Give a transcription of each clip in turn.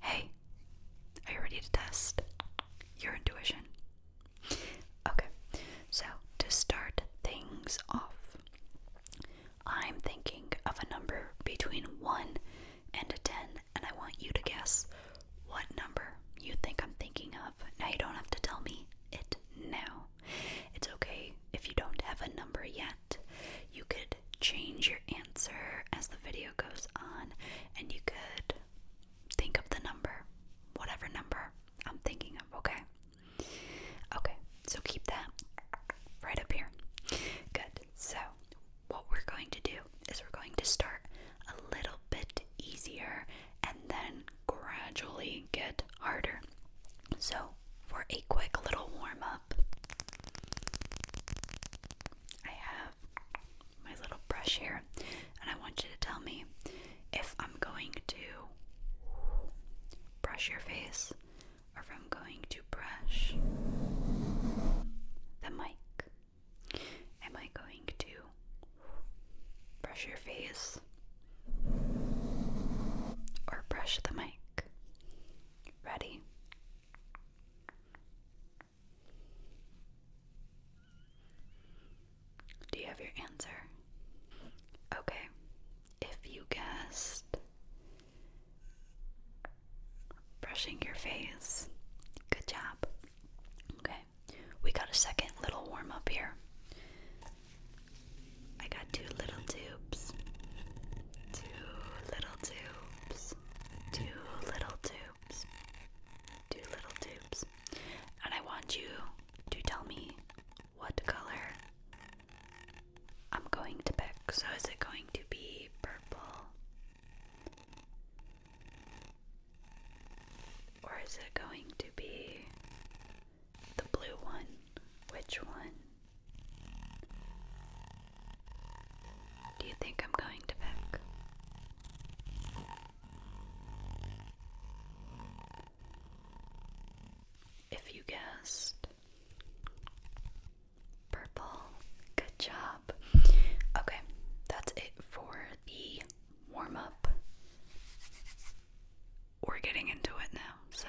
Hey, are you ready to test your intuition? Okay, so to start things off, I'm thinking of a number between 1 and 10, and I want you to guess what number you think I'm thinking of. Now, you don't have to tell me it now. It's okay if you don't have a number yet. You could change your answer as the video goes on, and you could think of the number, whatever number I'm thinking of, okay? Okay, so keep that right up here. Good. So, what we're going to do is we're going to start a little bit easier and then gradually get harder. So, for a quick little warm up, I have my little brush here, and I want you to tell me if I'm going to brush your face or if I'm going to brush the mic. Am I going to brush your face or brush the mic? Ready? Do you have your answer? Okay. If you guessed brushing your face, good job. Okay. We got a second little warm up here. I got two little tubes. Two little tubes tubes, little tubes, two little tubes, and I want you to tell me what color I'm going to pick. So, is it going to be purple? Or is it going to be the blue one? Which one? Do you think I'm going to pick? If you guessed purple, good job. Okay, that's it for the warm up. We're getting into it now, so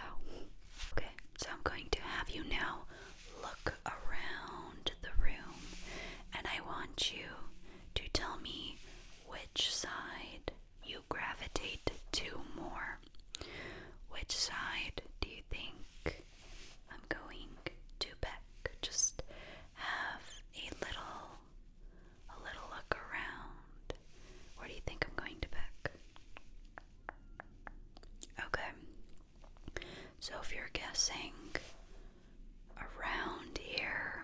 okay. So I'm going to have you now look around the room and I want you to tell me which side you gravitate to more. Which side do you think I'm going to pick? Just have a little a little look around. Where do you think I'm going to pick? Okay. So if you're guessing around here,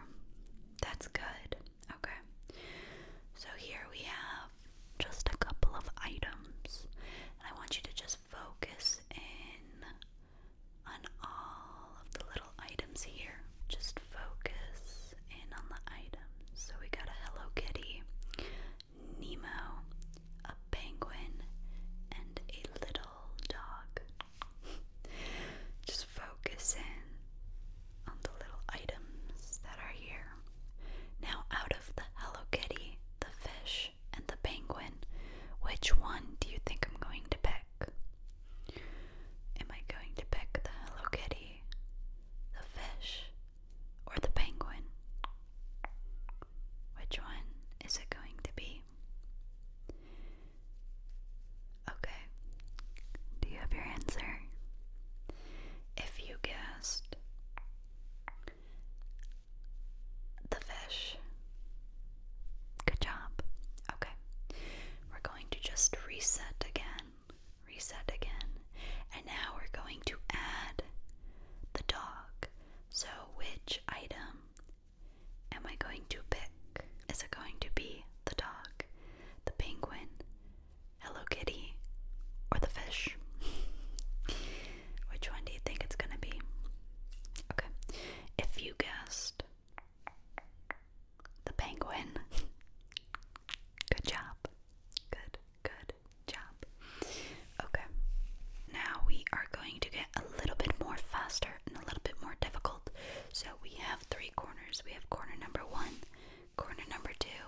that's good. Okay. So here we have just a couple of items. I want you to just focus in on all of the little items here. Just focus in on the items. So we got a Hello Kitty, Nemo, a penguin, and a little dog. Just focus in on the little items that are here. Now, out of the Hello Kitty, the fish, and the penguin, which one do you think I'm going to pick? Am I going to pick the Hello Kitty, the fish, or the penguin? Which one is it going to be? Okay, do you have your answer? If you guessed the fish, good job. Okay, we're going to just reset again, reset again, and now we're going to add the dog. So, which item am I going to pick? Is it going to be the dog, the penguin, Hello Kitty, or the fish? which one do you think it's going to be? Okay, if you guessed the penguin, good job. Good, good, Okay, now we are going to get a little bit more faster and a little bit more difficult. So we have three corners. We have corner number one, corner number two,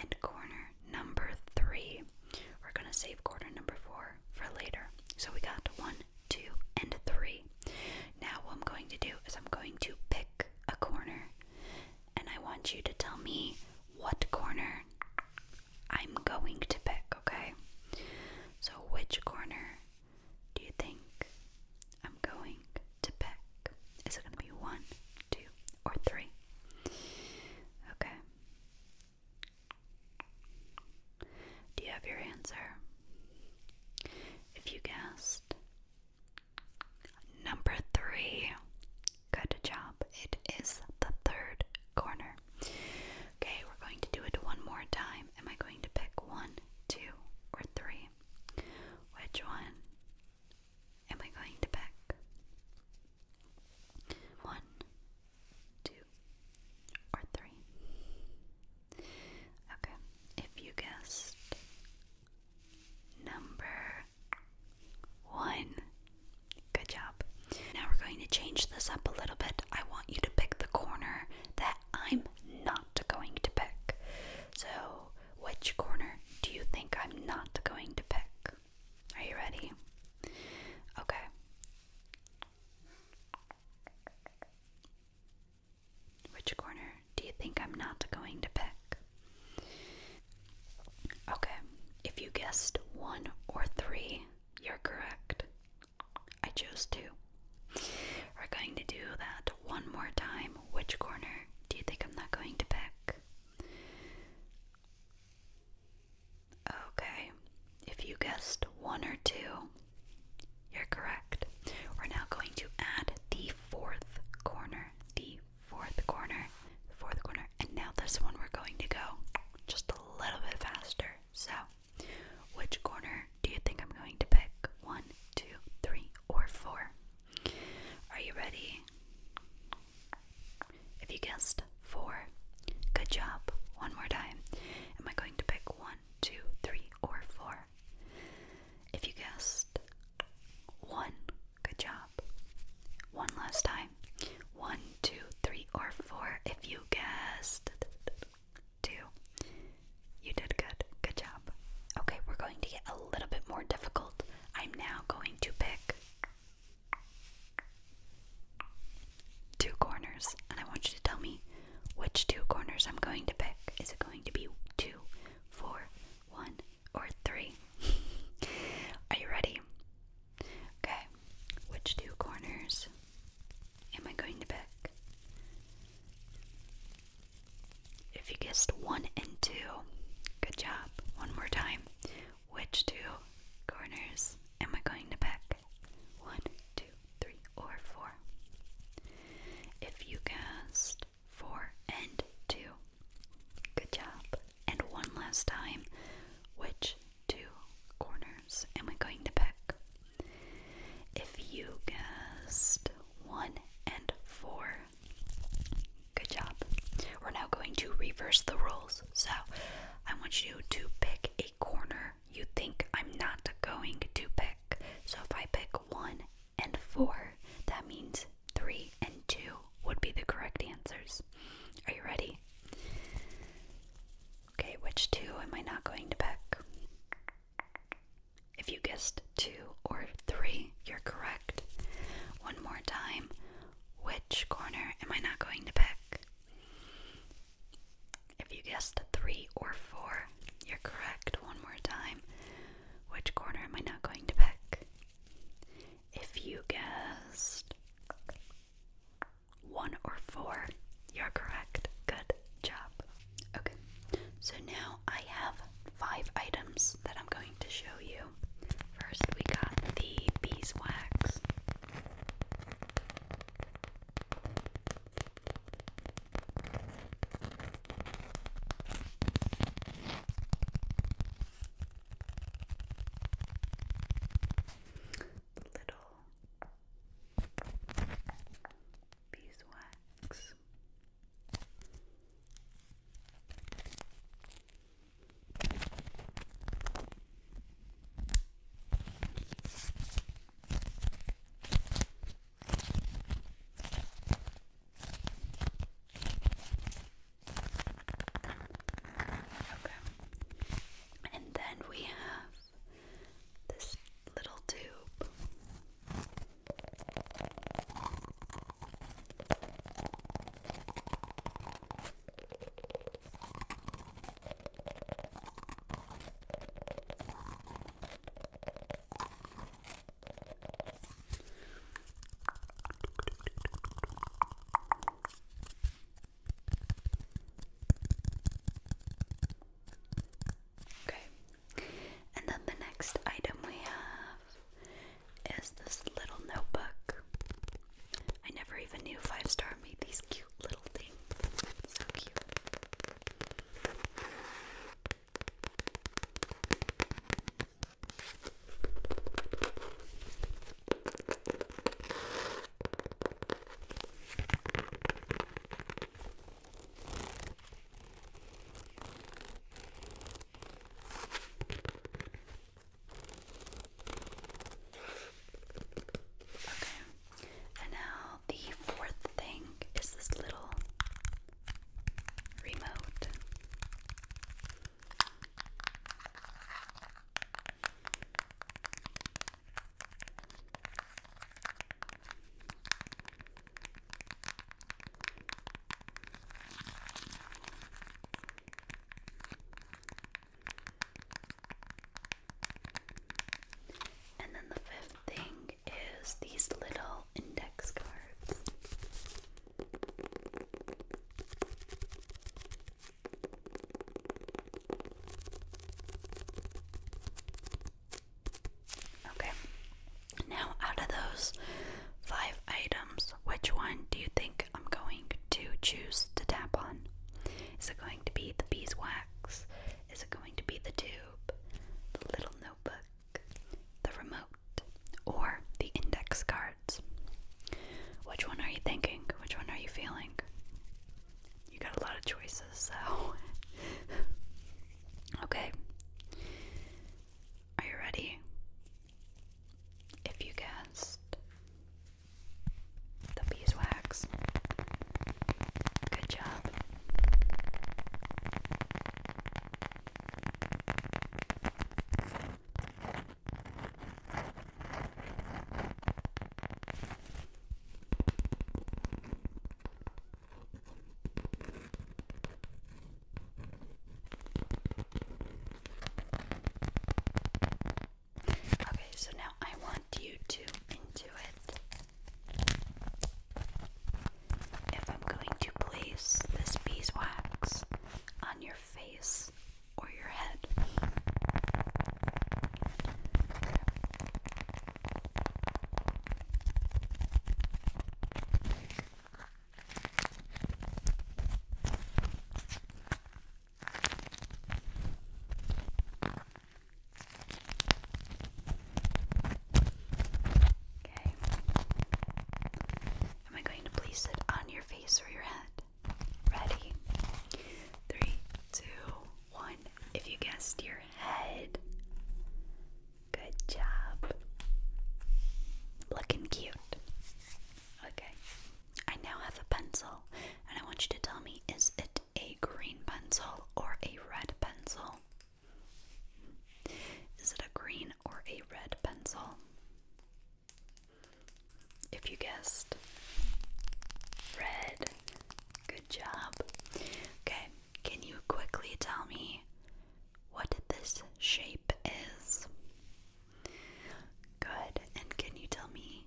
and corner number three. We're gonna save corner number four for later. So we got one, two, and three. Now, what I'm going to do is I'm going to pick a corner, and I want you to tell me what corner I'm going to pick, okay? So, which corner do you think I'm going to pick? Is it going to be one, two, or three? Okay. Do you have your answer? If you guessed number three, good job. It is the third corner. Okay, we're going to do it one more time. Am I going to pick one, two, or three? Which one am I going to pick? One, two, or three? Okay, if you guessed number one, Good job. Now we're going to change this up a little bit. I want you to pick the corner that I'm not going to pick. So, which corner do you think I'm not going to pick? Are you ready? Okay. Which corner do you think I'm not going to pick? Okay, if you guessed one or three, you're correct. I chose two. We're going to do that one more time. Which corner do you think I'm not going to pick? Okay, if you guessed one or two, you're correct. We're now going to add the fourth corner, the fourth corner, the fourth corner, and now this one we're going to go just a little bit faster. So, which corner do you think I'm going to pick? One, two, three, or four? Are you ready? If you guessed four, good job. One more time. Am I going to pick one, two, three, or four? If you guessed one, good job. One last time. One, two, three, or four if you guessed two. You did good. Good job. Okay, we're going to get a little bit more difficult. I'm now going to pick two corners, and I want you to tell me which two corners I'm going to pick. Is it going to be two, four, one, or three? Are you ready? Okay, which two corners am I going to pick? If you guessed one and two, good job. One more time. Which two corners am I going to pick? One, two, three, or four. If you guessed four and two, good job. And one last time. Which two corners and we're going to pick. If you guessed one and four, good job. We're now going to reverse the rules. So I want you to pick a corner you think I'm not going to pick. So if I pick one and four, that means three and two would be the correct answers. Are you ready? Okay, which two am I not going to pick? If you guessed two or three, you're correct. One more time. Which corner am I not going to pick? If you guessed three or four, you're correct. One more time. Which corner am I not going to pick? If you guessed one or four. You're correct. Good job. Okay, so now I have five items that I'm going to show you. First, we got the beeswax. little beeswax. Okay. And then we have this little tube. Okay, and then the next item we have is this little notebook. I never even knew Five Star made these cute little things. so cute. And now the fourth thing is this little remote. And then the fifth thing is these little index cards. Okay, now out of those five items, which one do you think I'm going to choose to tap on? Is it going to be the beeswax? Is it going to be the tube, the little notebook, the remote, or the index cards? Which one are you thinking? Which one are you feeling? you got a lot of choices, so. okay. Are you ready? If you guessed the beeswax, good job. Okay, so now I want you to intuit if I'm going to place this beeswax on your face or your head. Okay. Am I going to place it on your face or your head? Ready? Three, two, one if you guessed your head. Good job. Looking cute. Okay. I now have a pencil, and I want you to tell me is it a green pencil or a red pencil? Is it a green or a red pencil? If you guessed red, Good job. Okay, can you quickly tell me what this shape is? Good, and can you tell me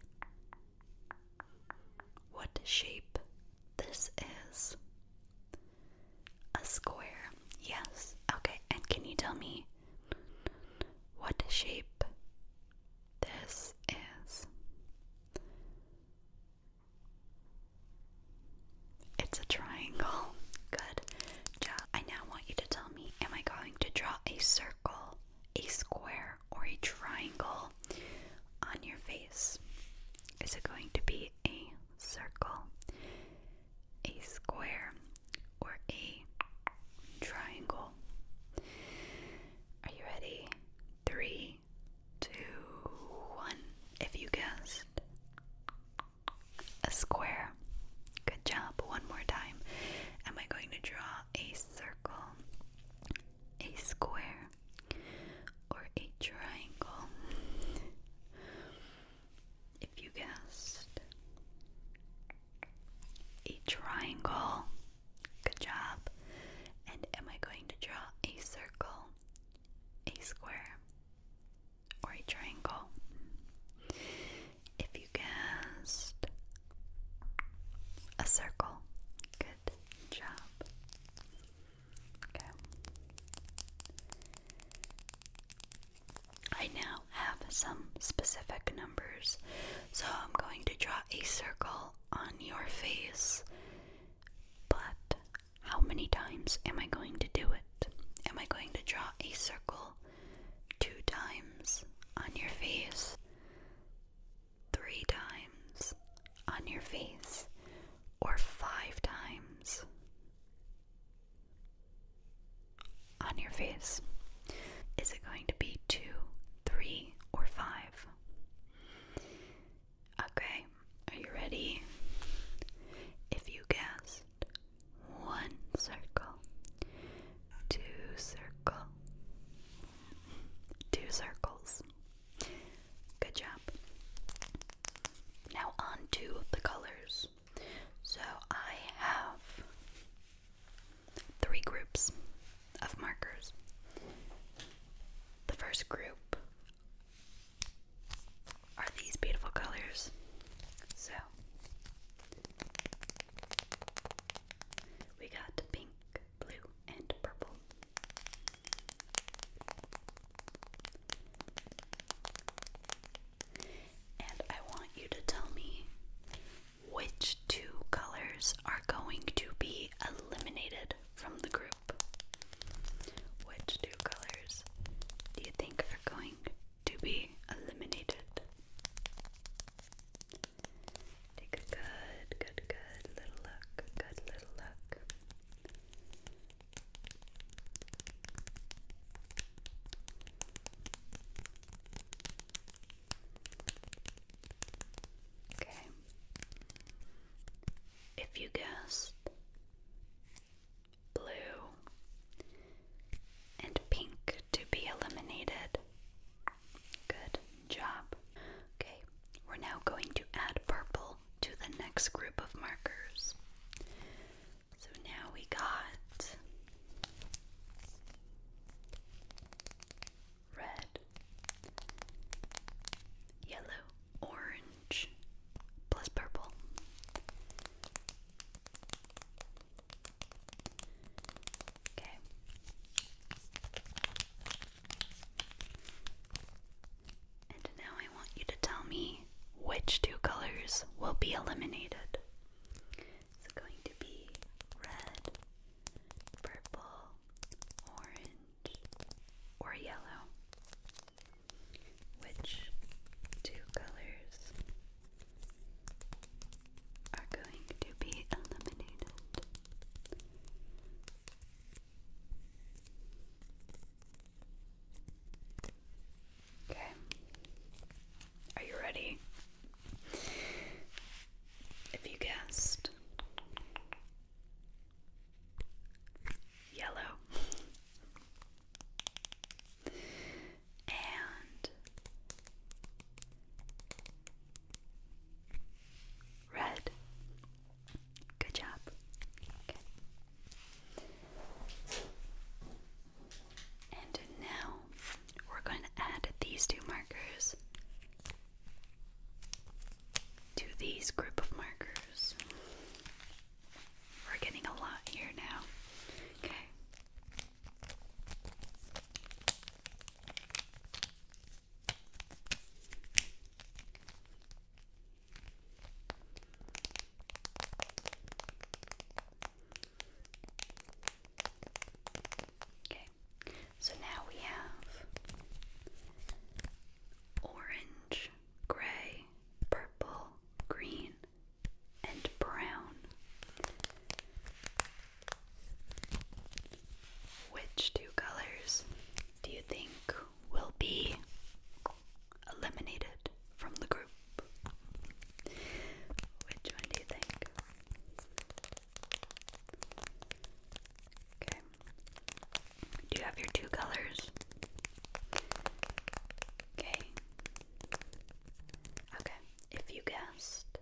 what shape this is? A square, yes. Okay, and can you tell me what shape this is? It's a triangle. Good job. I now want you to tell me am I going to draw a circle, a square, or a triangle on your face? Is it going to be a circle, a square, or a triangle? Are you ready? Three, two, one. If you guessed a square, good job. One more time. Am I going to draw a circle, a square, or a triangle? If you guessed a triangle, Good job. And am I going to draw a circle, a square, or a triangle? If you guessed a circle, good job. Okay. I now have some specific numbers, so I'm going to draw a circle on your face. But how many times am I going to do it? Am I going to draw a circle two times on your face? Three times on your face? Or five times on your face? Is it going to be two, three, or five? Okay, are you ready? If you guessed one circle, two circle, two circles. Good job. Now on the colors. So I have three groups of markers. The first group are these beautiful colors. So we got pink, blue, and purple. And I want you to tell me which two colors are going to be eliminated from the group. Which two colors do you think are going to be eliminated? Take a good, good, good little look. Good little look. Okay. If you guessed blue and pink to be eliminated. Good job. Okay, we're now going to add purple to the next group of markers. So now we got red, yellow, orange, plus purple. Okay. And now I want you to tell me which two colors will be eliminated. It's going to be red, purple, orange or yellow. Which two colors are going to be eliminated? Okay. Are you ready? If you guessed yellow, and red. Good job. And now we're going to add these two markers to these group of markers. We're getting a lot here now. Okay. Okay. So now we have orange, gray, purple, green, and brown. Which two colors do you think will be eliminated from the group? Which one do you think? Okay. Do you have your two colors? Okay. Okay. If you guessed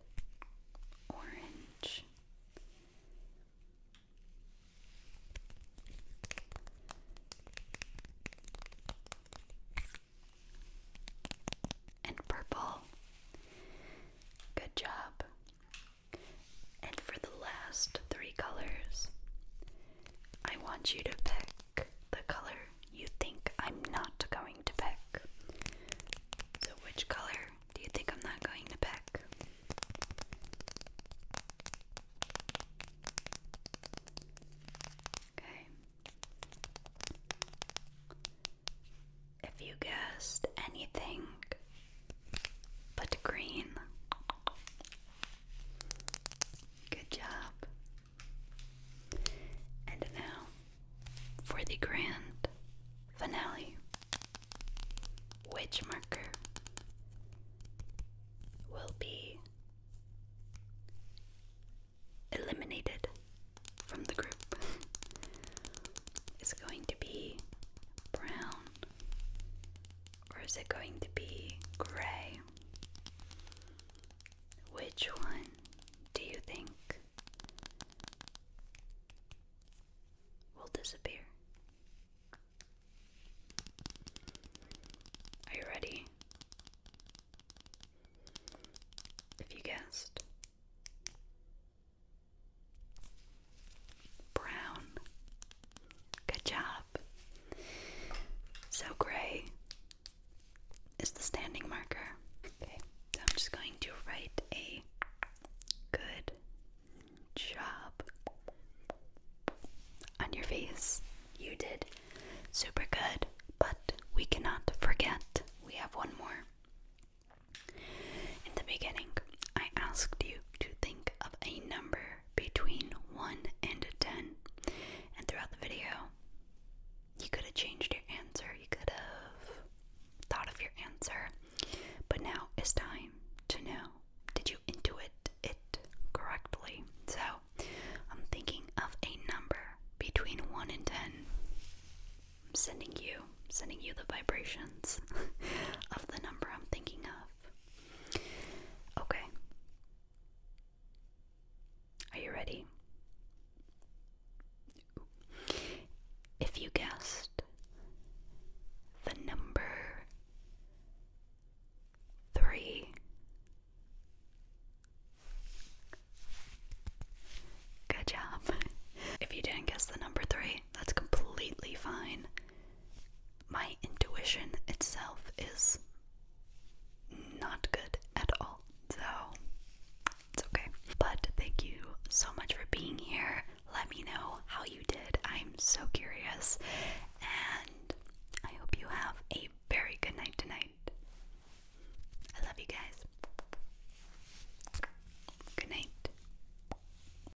orange, and purple. Good job. And for the last three colors, I want you to pick the color you think I'm not going to pick. So, which color do you think I'm not going to pick? Okay. If you guessed anything but green. Good job. And now for the grand finale. Which marker will be eliminated from the group? it's going to be brown or is it going to be gray? Which one do you think will disappear? Are you ready? If you guessed Brown. Good job. So gray is the standing marker. Okay, I'm just going to write a good job on your face. You did super good, but we cannot forget we have one more. In the beginning, I asked you to think of a number between 1 and 10. And throughout the video, you could have changed your answer, you could have thought of your answer, but now it's time to know did you intuit it correctly? So I'm thinking of a number between 1 and 10. I'm sending you, sending you the vibrations of the number I'm thinking of. Okay. Are you ready? If you guessed the number three, good job. If you didn't guess the number three, that's completely fine my intuition itself is not good at all. So it's okay. But thank you so much for being here. Let me know how you did. I'm so curious. And I hope you have a very good night tonight. I love you guys. Good night.